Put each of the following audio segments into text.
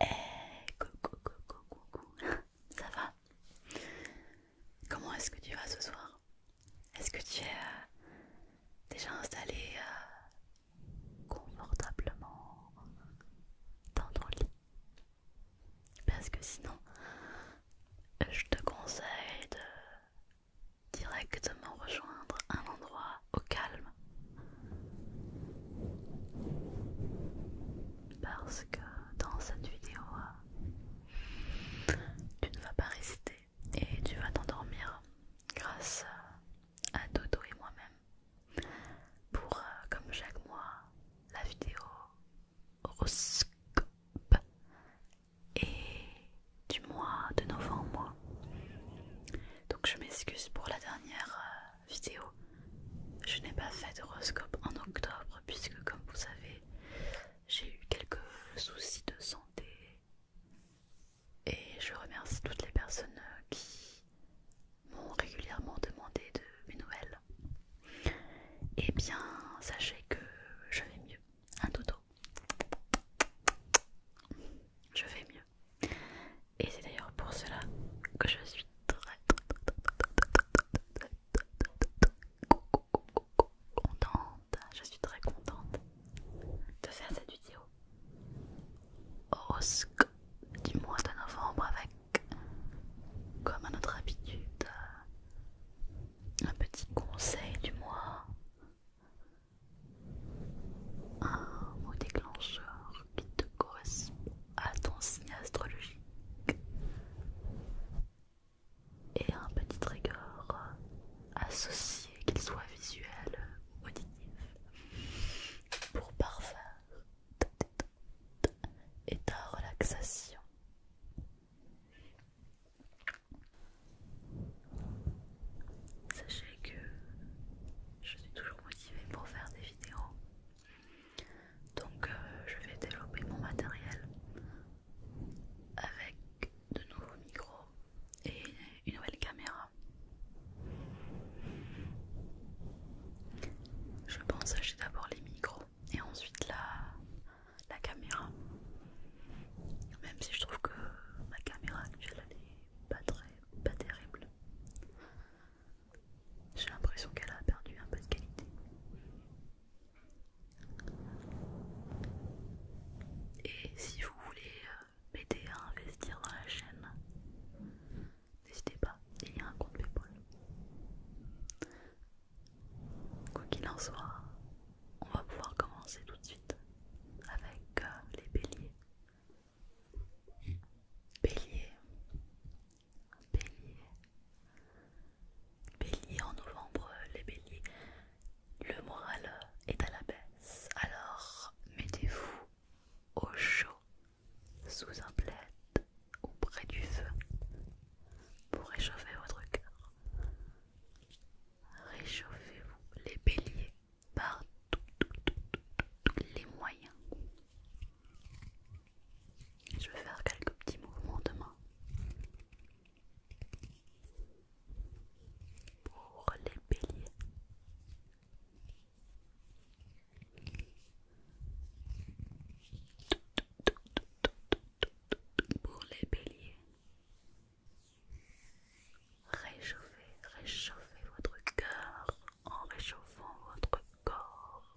Hey, eh, coucou, coucou, coucou, ça va Comment est-ce que tu vas ce soir Est-ce que tu es euh, déjà installé euh, confortablement dans ton lit Parce que sinon, je te conseille de directement rejoindre un endroit au calme. Parce que dans cette vidéo, tu ne vas pas résister et tu vas t'endormir grâce à Dodo et moi-même pour, euh, comme chaque mois, la vidéo horoscope et du mois de novembre. Donc je m'excuse pour la dernière euh, vidéo. Je n'ai pas fait d'horoscope en octobre puisque comme vous savez, j'ai eu quelques soucis de santé. Et je remercie toutes les personnes euh, qui m'ont régulièrement demandé de mes nouvelles. Et eh bien, sachez que je vais mieux. Un dodo. Je vais mieux. Et c'est d'ailleurs pour cela que je suis très contente. Je suis très contente de faire cette vidéo. Au Horoscope du mois de novembre avec, comme à notre habitude, un petit conseil du mois un mot déclencheur qui te correspond à ton signe astrologique et un petit trigger associé, qu'il soit visuel ou auditif, pour parfaire ta et ta relaxation. Sachez que je suis toujours motivée pour faire des vidéos. Donc euh, je vais développer mon matériel avec de nouveaux micros et une nouvelle caméra. Je pense acheter d'abord les micros et ensuite la, la caméra. Même si je trouve que ma caméra actuelle est pas très, pas terrible. J'ai l'impression qu'elle a perdu un peu de qualité. Et si vous voulez euh, m'aider à investir dans la chaîne, n'hésitez pas, il y a un compte PayPal. Quoi qu'il en soit, on va pouvoir commencer tout de suite avec euh, les béliers. Bélier, bélier, bélier en novembre, les béliers, le moral est à la baisse, alors mettez-vous au chaud, sous un plaid ou près du feu pour réchauffer votre cœur. Réchauffez-vous les béliers par tous les moyens. Je vais faire quelques petits mouvements de main pour les béliers. Pour les béliers, Réchauffez, réchauffez votre cœur en réchauffant votre corps.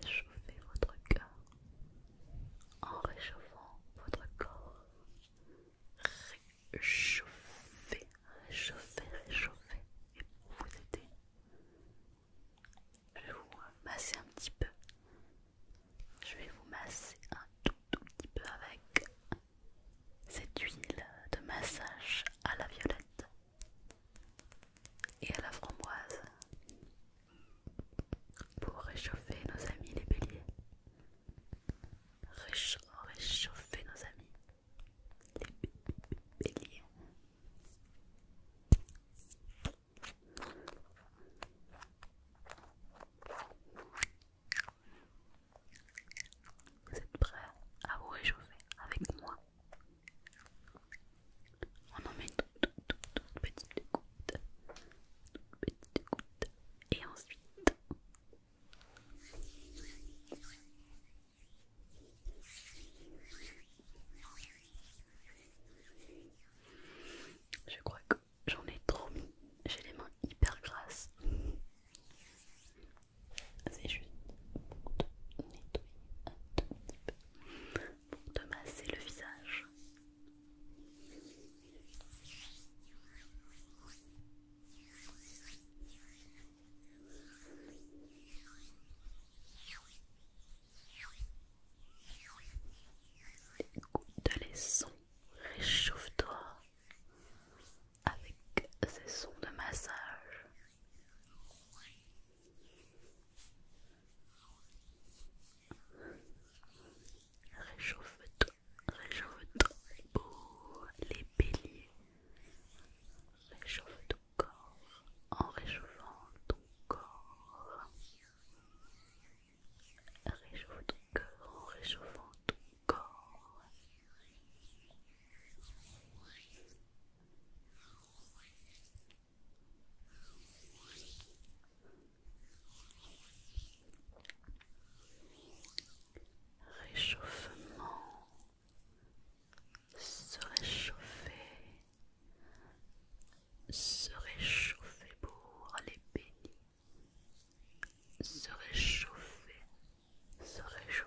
Réchauffez votre cœur en réchauffant votre corps. Réchauffez, réchauffez, réchauffez. Et pour vous aider, je vous masser un petit peu je vais vous masser un tout, tout petit peu avec cette huile de massage à la violette et à la framboise pour réchauffer nos amis les béliers. réchauffer nos amis les béliers. Vous êtes prêts à vous réchauffer avec moi On en met une toute, petite goutte, toute petite goutte, et ensuite. Je crois que j'en ai trop mis, j'ai les mains hyper grasses. C'est juste pour te nettoyer un tout petit peu, pour te masser le visage. Écoute les sons, réchauffe-toi avec ces sons de massage. Réchauffe-toi, réchauffe-toi, les béliers. Réchauffe ton corps en réchauffant ton corps. Réchauffe ton en réchauffant ton corps. Réchauffement, se réchauffer, se réchauffer pour aller bénis, se réchauffer, se réchauffer.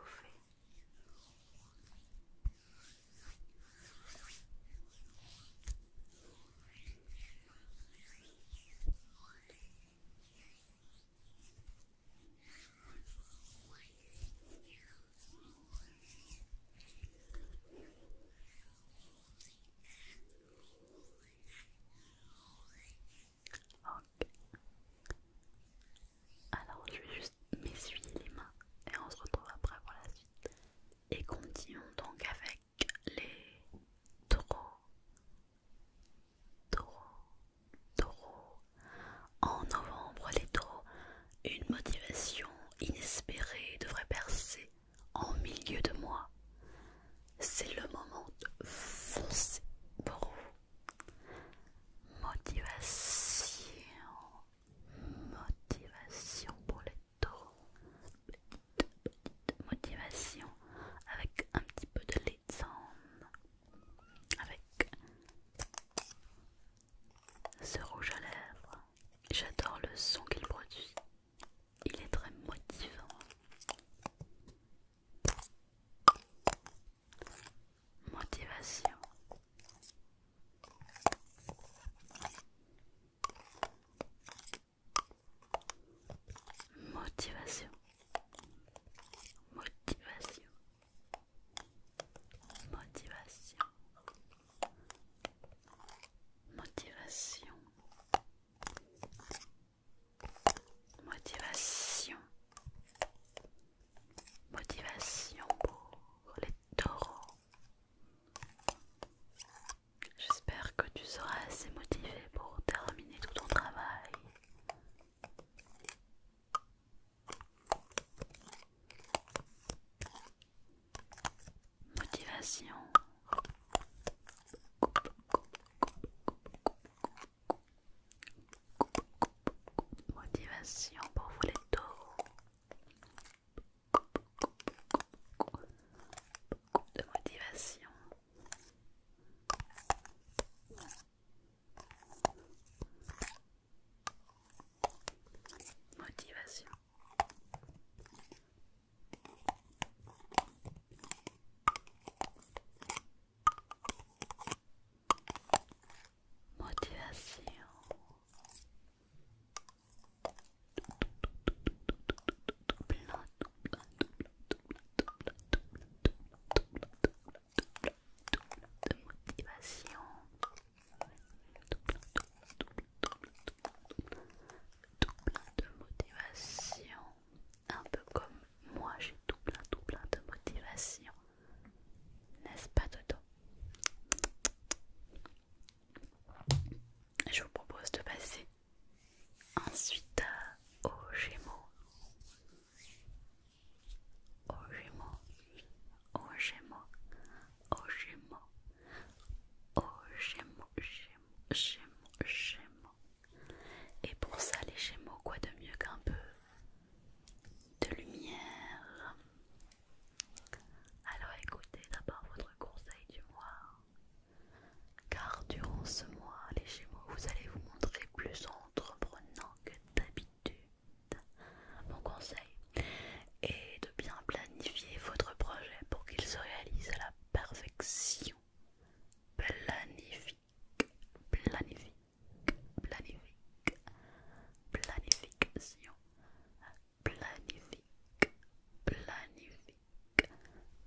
Ok. Alors je vais juste m'essuyer les mains et on se retrouve après pour la suite. Et continuons donc avec les taureaux. Taureaux, taureaux. En novembre, les taureaux, une motivation inespérée devrait percer en milieu de moi, c'est le moment de foncer pour vous. Motivation, motivation pour les taureaux, petite, motivation avec un petit peu de légende, avec ce rouge à lèvres. J'adore le son qu'il produit il est très motivant. Motivation. Motivation. Motivation. Motivation. Motivation. Motivation. Motivation pour les taureaux. J'espère que tu seras assez motivé pour terminer tout ton travail motivation. Motivation pour vous les taureaux. De motivation. Motivation. Motivation. motivation tout plein de motivation, un peu comme moi j'ai tout plein, tout plein de motivation, n'est-ce pas Toto Je vous propose de passer ensuite au Gémeaux. Au Gémeaux, aux Gémeaux, aux Gémeaux, aux Gémeaux, Gémeaux j'aime, j'aime, Et pour ça, les gémeaux, quoi de mieux qu'un peu de lumière Alors écoutez d'abord votre conseil du mois. Car durant ce mois, les gémeaux, vous allez vous montrer plus entreprenant que d'habitude. Mon conseil est de bien planifier votre projet pour qu'il se réalise à la perfection. Planifique, planifique, planifique, planification. Planifique, planifique,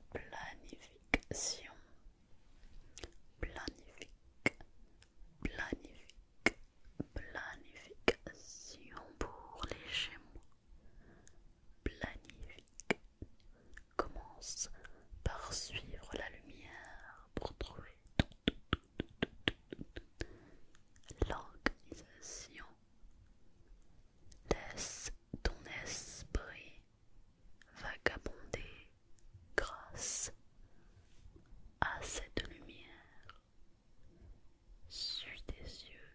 planification. Planifique, planifique, planification pour les Gémeaux planifique commence par suivre la lumière pour trouver l'organisation. Laisse ton esprit vagabonder grâce à cette lumière. sur tes yeux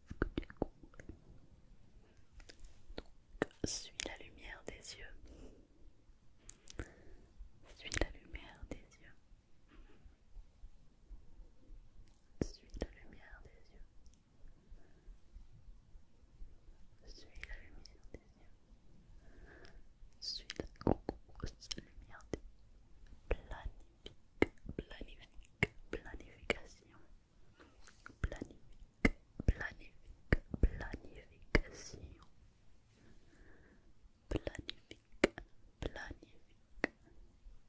est que suis la lumière des yeux. Suis la lumière des yeux. Suis la lumière des yeux. Suis la lumière des yeux. Suis la lumière des yeux planification, planifique, planifique, planification, planifique, planifique,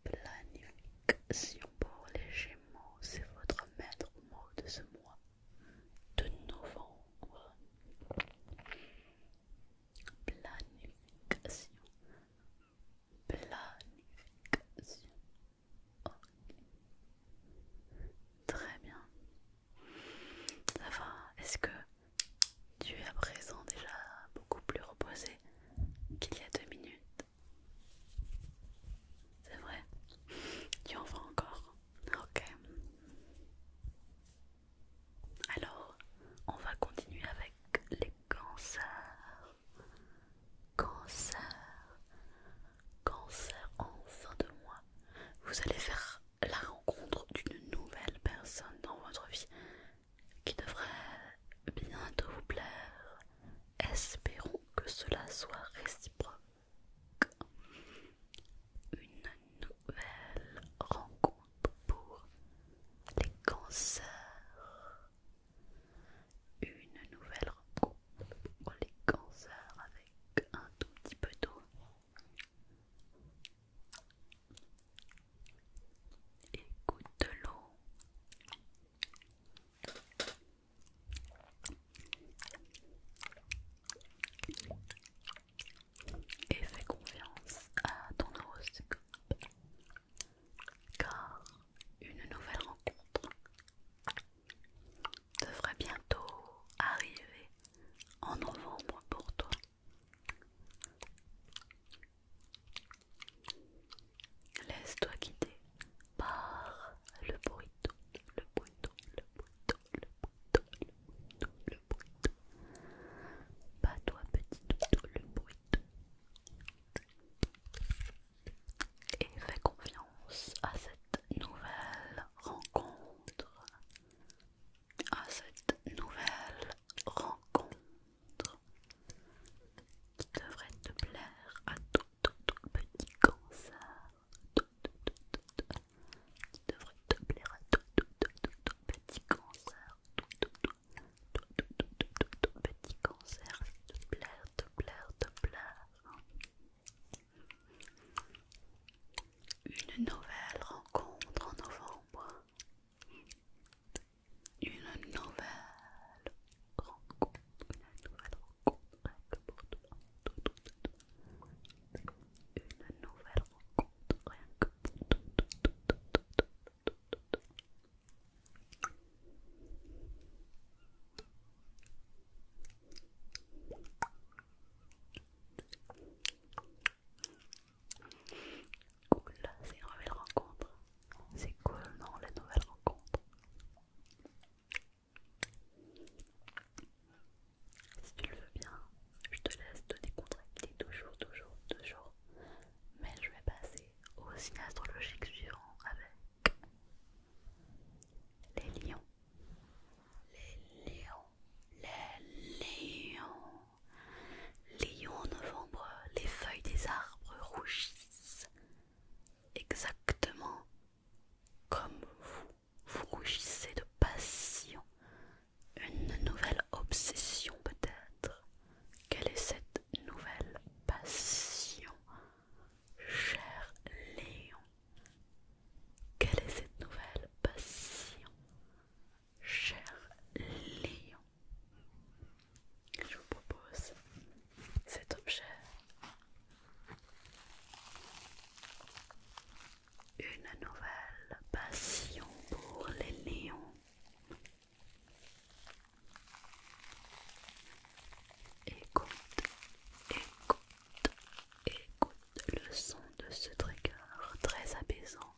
planification pour les Gémeaux, c'est votre maître mot de ce mois de novembre. Planification, Planification. Très bien. Ça va. Est-ce que tu es à présent déjà beaucoup plus reposé qu'il y a deux minutes C'est vrai Tu en vois encore Ok. Alors, on va continuer avec les cancer, cancer, cancer en fin de mois. Vous allez faire la rencontre d'une nouvelle personne dans votre vie qui devrait bientôt vous plaire. Espérons que cela soit réciproque. Une nouvelle rencontre pour les cancers, une nouvelle rencontre pour les cancers avec un tout petit peu d'eau. Écoute de l'eau. Et fais confiance à ton horoscope car une nouvelle rencontre devrait bientôt arriver en novembre pour toi. Laisse-toi guider par le bruit, le bruit, le bruit, le bruit, le bruit, le bruit. Pas toi petit tout le bruit et fais confiance à cette nouvelle rencontre, à cette nouvelle rencontre qui devrait te plaire à tout, petit cancer, devrait te plaire à tout, petit cancer, petit cancer, de te de te plaire, te plaire. Une nouvelle rencontre en novembre. Une nouvelle rencontre, une nouvelle rencontre rien que pour toi. Une nouvelle rencontre rien que pour tout Cool, c'est une nouvelle rencontre. C'est cool, non, la nouvelle rencontre. Si tu le veux bien, je te laisse te décontracter toujours, toujours, toujours mais je vais passer au signe astrologique suivant avec les lions. Les lions, les lions. Lion en novembre, les feuilles des arbres rougissent. Exactement comme vous, vous rougissez de passion. Une nouvelle obsession peut-être. Quelle est cette nouvelle passion, cher Léon Quelle est cette nouvelle passion, cher Léon Je vous propose cet objet. Une nouvelle passion pour les Léons Écoute, écoute, écoute le son de ce trigger très apaisant.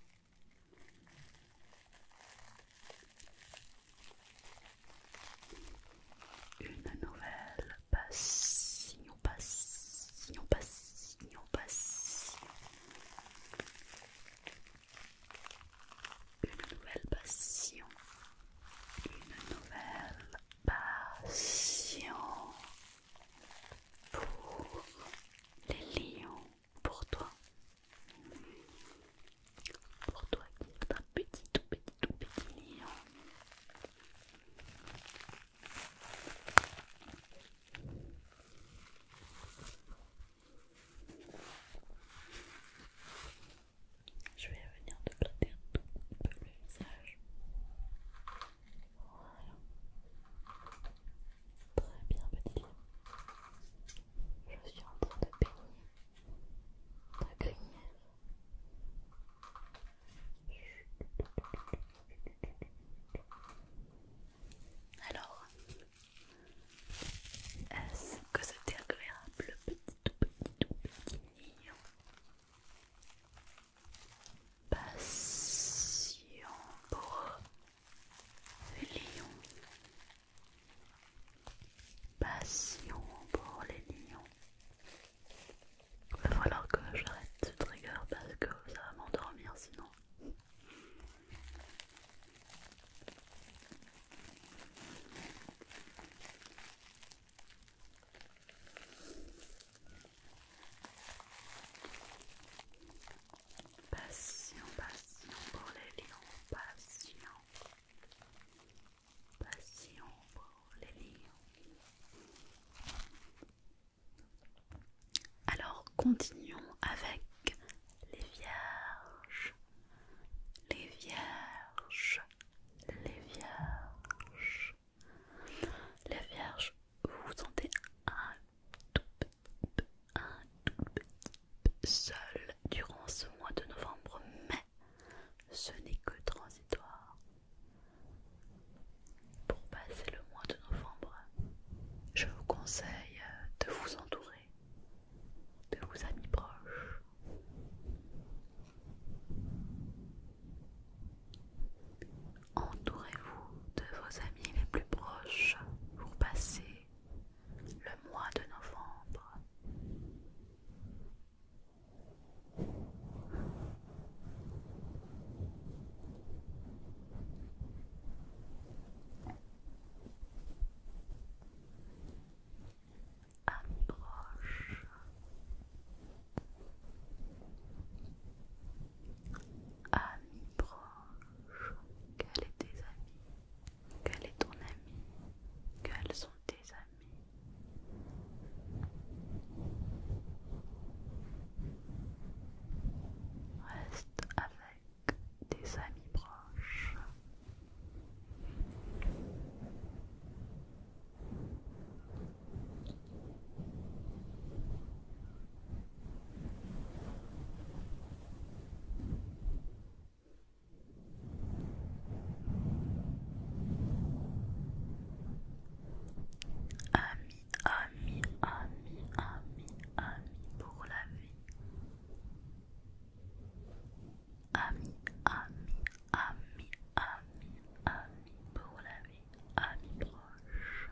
Une nouvelle passion, passion, passion, passion une nouvelle passion, une nouvelle passion pour les lions, pour toi, pour toi qui est un petit, tout petit, tout petit lion. Je vais venir te gratter un tout peu le visage. Voilà. Très bien, petit. Je suis en train de peigner ta crinière. Alors, est-ce que c'était agréable, petit tout petit tout petit lion Passion pour les lions. Passion pour les lions. Il va falloir que j'arrête ce trigger parce que ça va m'endormir sinon. Passion, passion pour les lions, passion, passion pour les lions. Alors continuons avec les vierges, les vierges, les vierges. Les vierges, vous vous sentez un tout petit un tout petit seul durant ce mois de novembre, mais ce n'est que transitoire. Pour passer le mois de novembre, je vous conseille de vous entourer de vos amis proches. Entourez-vous de vos amis les plus proches pour passer le mois de novembre amis proches. Amis proches. Quels sont tes amis Quel est ton ami Quels sont tes amis Reste avec tes amis proches Ami, ami, ami, ami, ami pour la vie ami, ami, ami, ami, ami pour la vie, ami proche.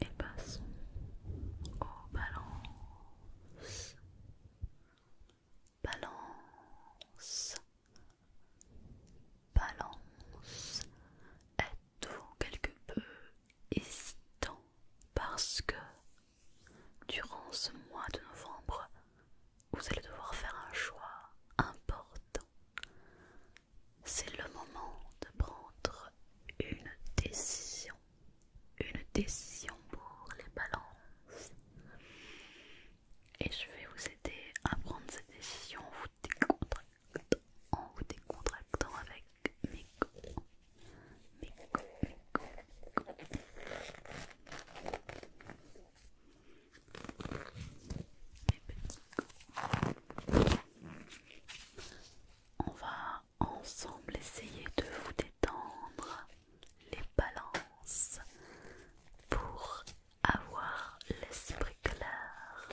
Et passons aux balances. Balance. Balance tout quelque peu hésitant parce que durant ce mois de novembre, vous allez devoir faire un choix important. C'est le moment de prendre une décision. Une décision pour les balances. Et je vais vous aider à prendre cette décision vous décontractant en vous décontractant avec mes coups. Mes petits On va ensemble essayer de vous détendre les balances pour avoir l'esprit clair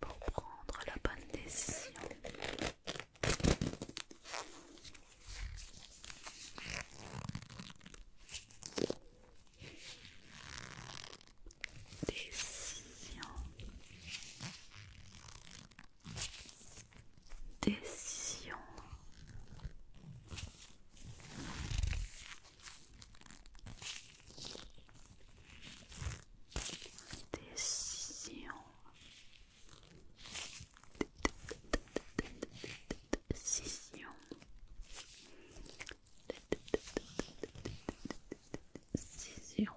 pour prendre la bonne décision. Décision. Décision. Décision. Décision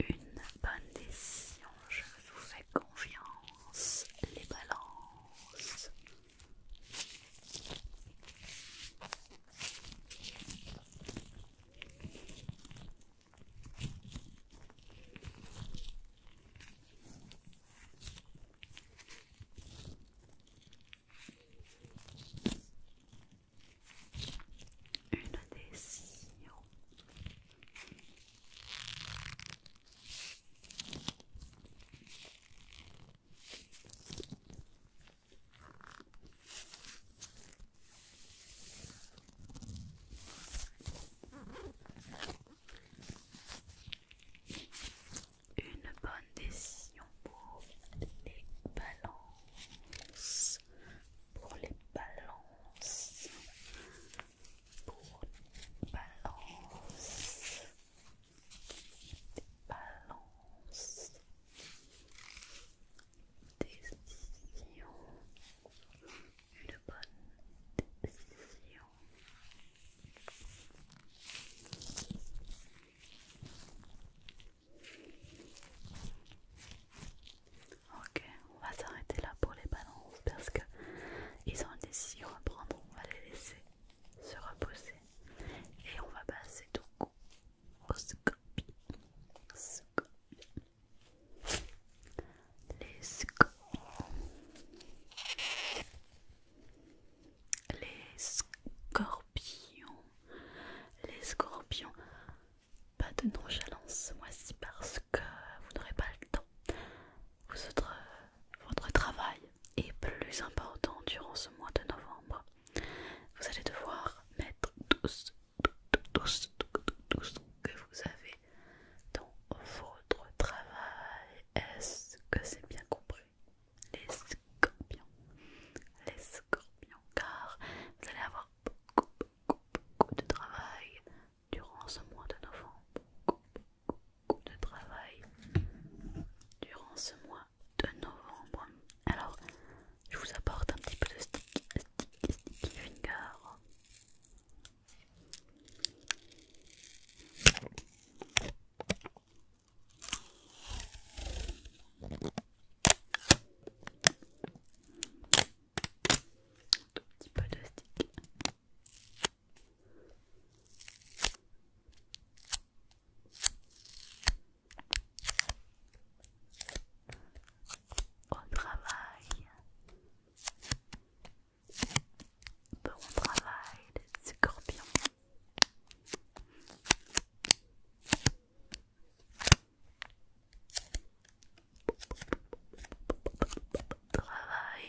une bonne décision. Je vous fais confiance, les balances une décision. Une bonne décision pour les balances pour les balances. Pour les balances Des balances. des décisions Une bonne décision. Ok, on va s'arrêter là pour les balances parce que ils ont décidé de à On va les laisser se reposer et on va passer tout coup au Scorpions Les scorpions, Les scorpions. Les scorpions pas de nonchalance moi mois parce que vous n'aurez pas le temps. Vous euh, votre travail est plus important durant ce mois de novembre. Vous allez devoir mettre tout que vous avez dans votre travail. Est-ce que c'est bien compris Les scorpions. Les scorpions, car vous allez avoir beaucoup, coup de travail durant ce mois de novembre. coup de travail durant ce mois de novembre. Alors, je vous apporte un petit peu de stick, sticky finger tout petit peu de stick. Au travail. Bon travail, les scorpions. Travail. Travail.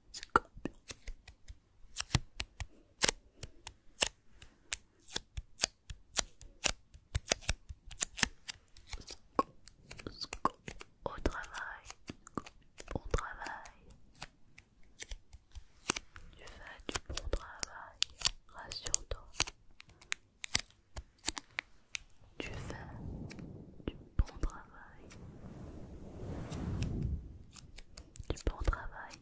Au travail, bon travail. Tu fais du bon travail, rassure-toi. Tu fais bon travail, du bon travail. Bon travail.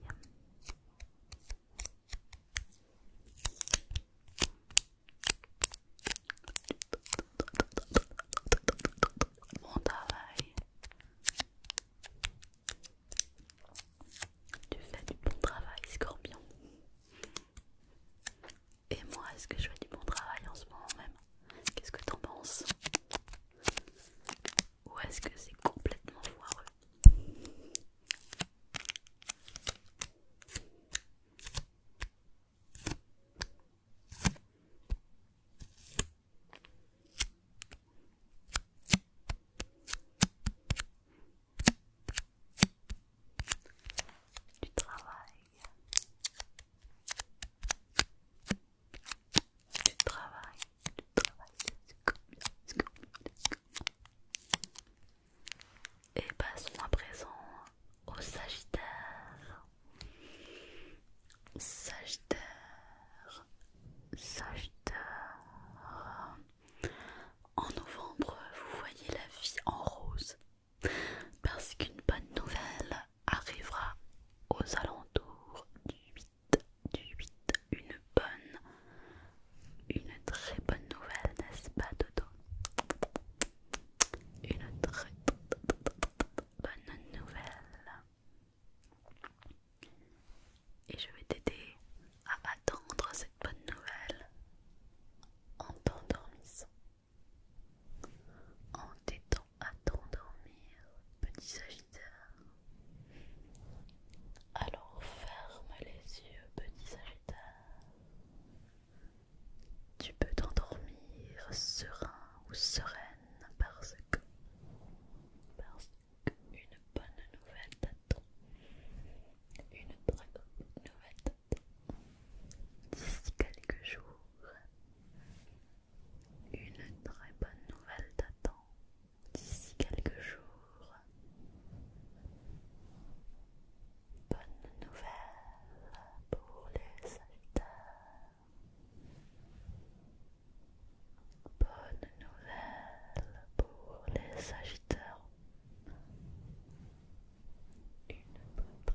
Tu fais du bon travail, Scorpion. Et moi, est-ce que je fais du bon travail en ce moment même Qu'est-ce que t'en penses Ou est-ce que c'est complètement foireux du travail du travail Et passons à présent au Sagittaire. Sagittaire, Sagittaire. En novembre, vous voyez la vie en rose. Parce qu'une bonne nouvelle arrivera aux alentours du 8, du 8, une bonne, une très bonne nouvelle, n'est-ce pas Dodo Une très bonne nouvelle. Et je vais t'aider à attendre cette bonne nouvelle en t'endormissant en t'aidant à t'endormir, petit Sagittaire. Alors ferme les yeux, petit Sagittaire. Tu peux t'endormir serein ou sereine parce que, parce qu'une bonne nouvelle t'attend. Une très nouvelle t'attend. D'ici quelques jours, une très bonne nouvelle t'attend d'ici quelques jours. Bonne nouvelle pour les Sagittaires. Bonne nouvelle pour les agiteurs Une bonne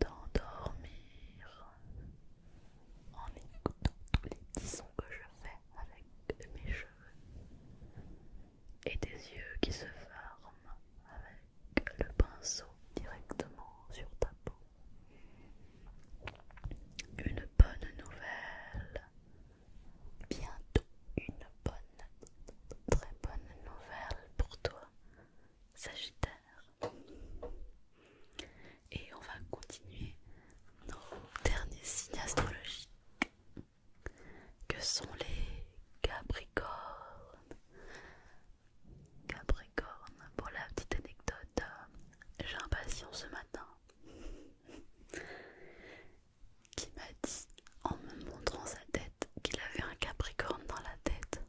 D'endormir en écoutant tous les petits sons que je fais avec mes cheveux et des yeux qui se forment avec le pinceau directement sur ta peau. Une bonne nouvelle, bientôt une bonne, très bonne nouvelle pour toi, Sagittaire. Et on va continuer nos derniers signes astrologiques que sont les Capricornes. Capricorne, pour la petite anecdote, euh, j'ai un patient ce matin qui m'a dit en me montrant sa tête qu'il avait un Capricorne dans la tête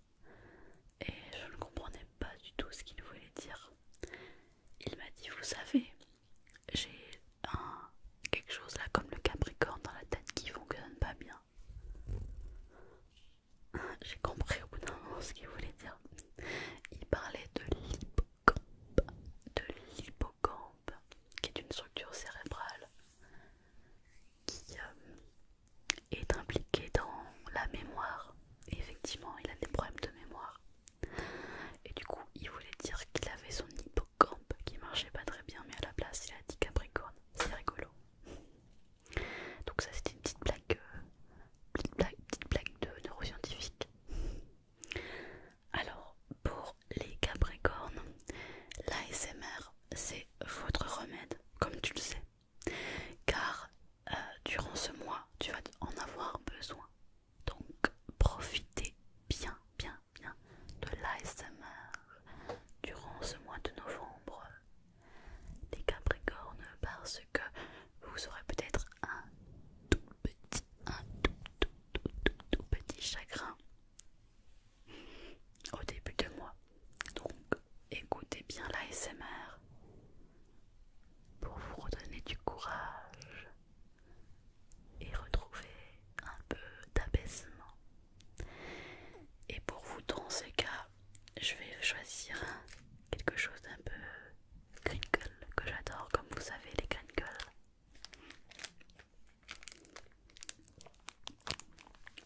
et je ne comprenais pas du tout ce qu'il voulait dire. Il m'a dit, vous savez, j'ai un quelque chose là comme le Capricorne dans la tête qui fonctionne pas bien. J'ai compris au bout d'un moment ce qu'il voulait dire. Il parlait de l'hippocampe, de l'hippocampe, qui est une structure cérébrale qui euh, est impliqué dans la mémoire. effectivement, il a des problèmes de mémoire. Et du coup, il voulait dire qu'il avait son hippocampe qui marchait pas très bien, mais à la place, il a dit Capricorne. C'est rigolo. Donc ça, c'était une petite blague, euh, petite blague, petite blague de neuroscientifique. Alors, pour les Capricornes, l'ASMR, c'est votre remède, comme tu le sais car euh, durant ce mois tu vas en avoir besoin. Donc profitez bien, bien, bien de l'ASMR durant ce mois de novembre, les Capricornes, parce que vous aurez peut-être un tout petit, tout petit chagrin au début de mois. Donc, écoutez bien la ASMR pour vous redonner du courage et retrouver un peu d'abaissement. Et pour vous, dans ces cas, je vais choisir quelque chose d'un peu crinkle que j'adore, comme vous savez, les crinkles.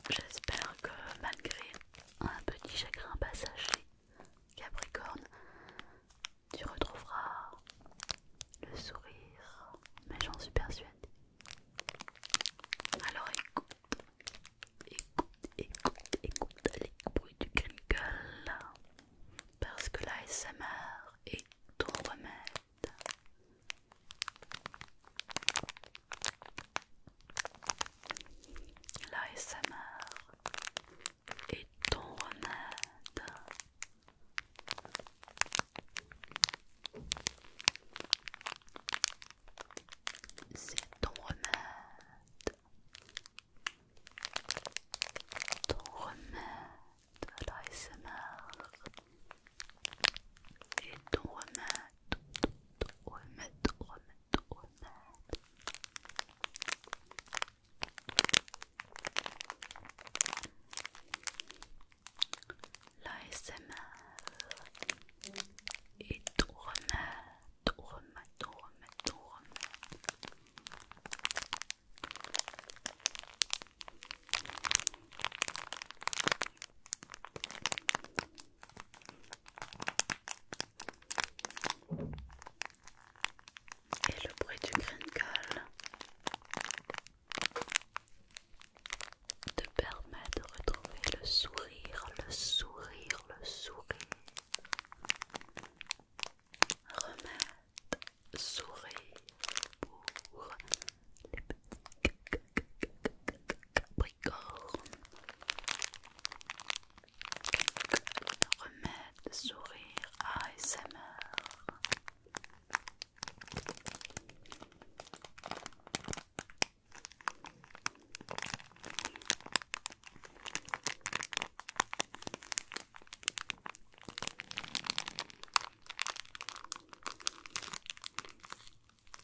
J'espère que malgré un petit chagrin passager, Capricorne, tu retrouveras le sourire, mais j'en suis persuadée. Alors écoute, écoute, écoute, écoute les bruits du crinkle, parce que l'ASMR est ton remède. L'ASMR est ton remède. C'est ton remède. Ton remède l'ASMR. est ton remède, remède, remède, être honnête. L'ASMR est tout remède, tout remède, tout remède, tout remède. Et le bruit du crinkle te permet de retrouver le sourire, le sourire, le sourire. Remettre sourire pour les petits capricornes. Remède sourire ASMR.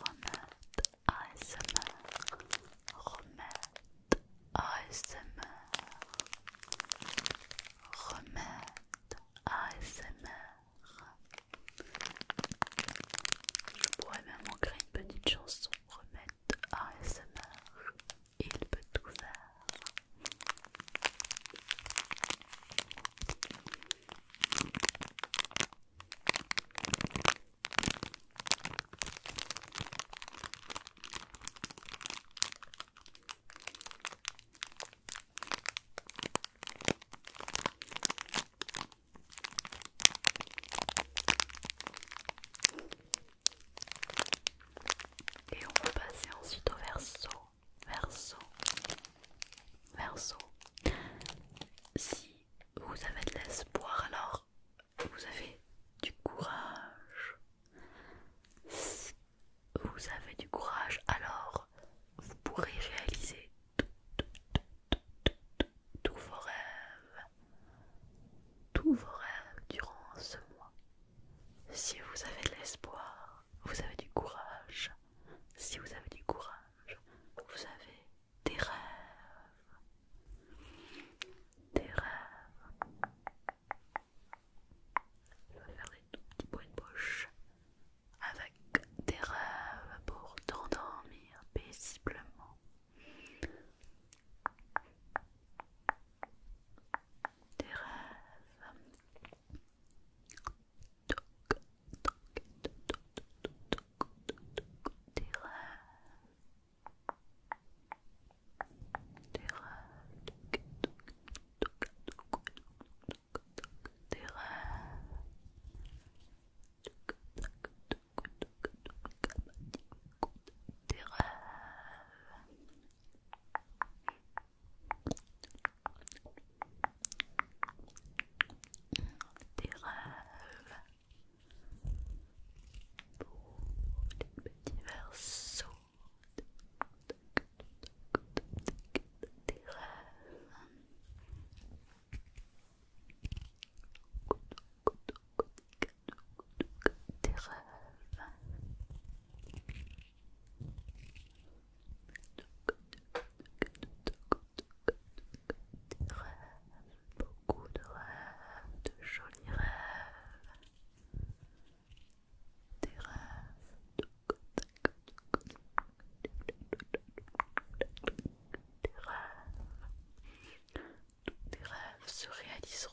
Remette ASMR. Remette ASMR. Remette ASMR. Je pourrais même en créer une petite chanson. Remette ASMR. Il peut tout faire. Et on va passer ensuite au verso, verso, Verso, si vous avez de l'espoir, alors vous avez du courage. Si vous avez du courage, alors vous pourrez réaliser tous vos rêves. Tous vos rêves durant ce mois. Si vous avez de l'espoir, vous avez du courage si vous avez du courage, vous avez des rêves. Des rêves. Je vais faire des tout petits points de bouche avec des rêves pour t'endormir paisiblement. Des rêves des rêves, des rêves, des rêves, des rêves. Des rêves. Des rêves pour des petits versos. Des rêves. Des rêves. Des beaucoup de rêves, de jolis rêves. Des rêves. Des rêves. se réaliseront.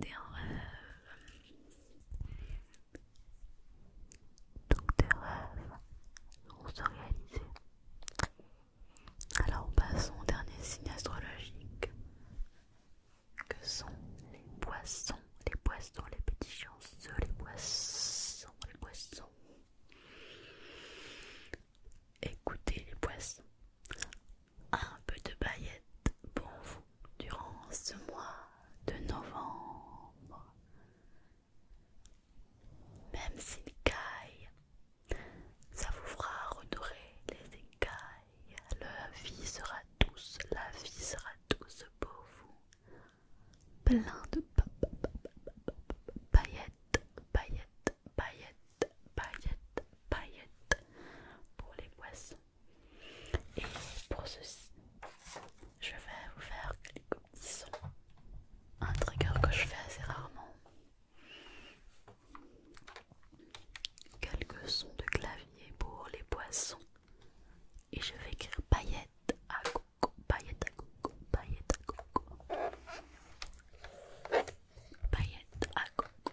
Des rêves. Donc des rêves vont se réaliser. Alors passons au dernier signe astrologique que sont les poissons, les poissons, les petits chanceux, les poissons, les poissons. Écoutez les poissons un peu de paillettes pour vous durant ce mois de novembre. Même s'il caille, ça vous fera redorer les écailles. La vie sera douce, la vie sera douce pour vous. Plein de paillettes, paillettes, paillettes, pour les poissons. Et pour ceci, je vais vous faire quelques petits sons. Un trigger que je fais assez rarement. Quelques sons de clavier pour les poissons. Et je vais écrire paillettes à coco, paillettes à coco, paillettes à coco. Paillettes à coco.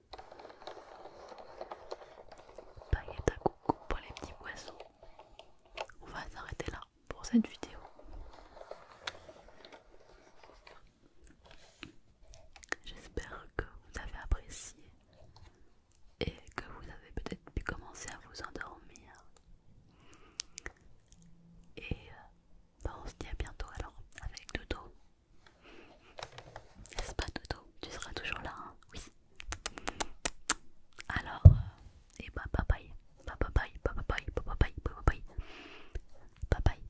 Paillette à coucou pour les petits poissons. On va s'arrêter là pour cette vidéo. J'espère que vous avez apprécié et que vous avez peut-être pu commencer à vous endormir. Et euh, bah, on se dit à bientôt alors avec Dodo. N'est-ce pas Toto, Tu seras toujours là, hein Oui. Alors, euh, et bah bye bye. Bye bye bye bye bye bye bye bye bye. Bye bye.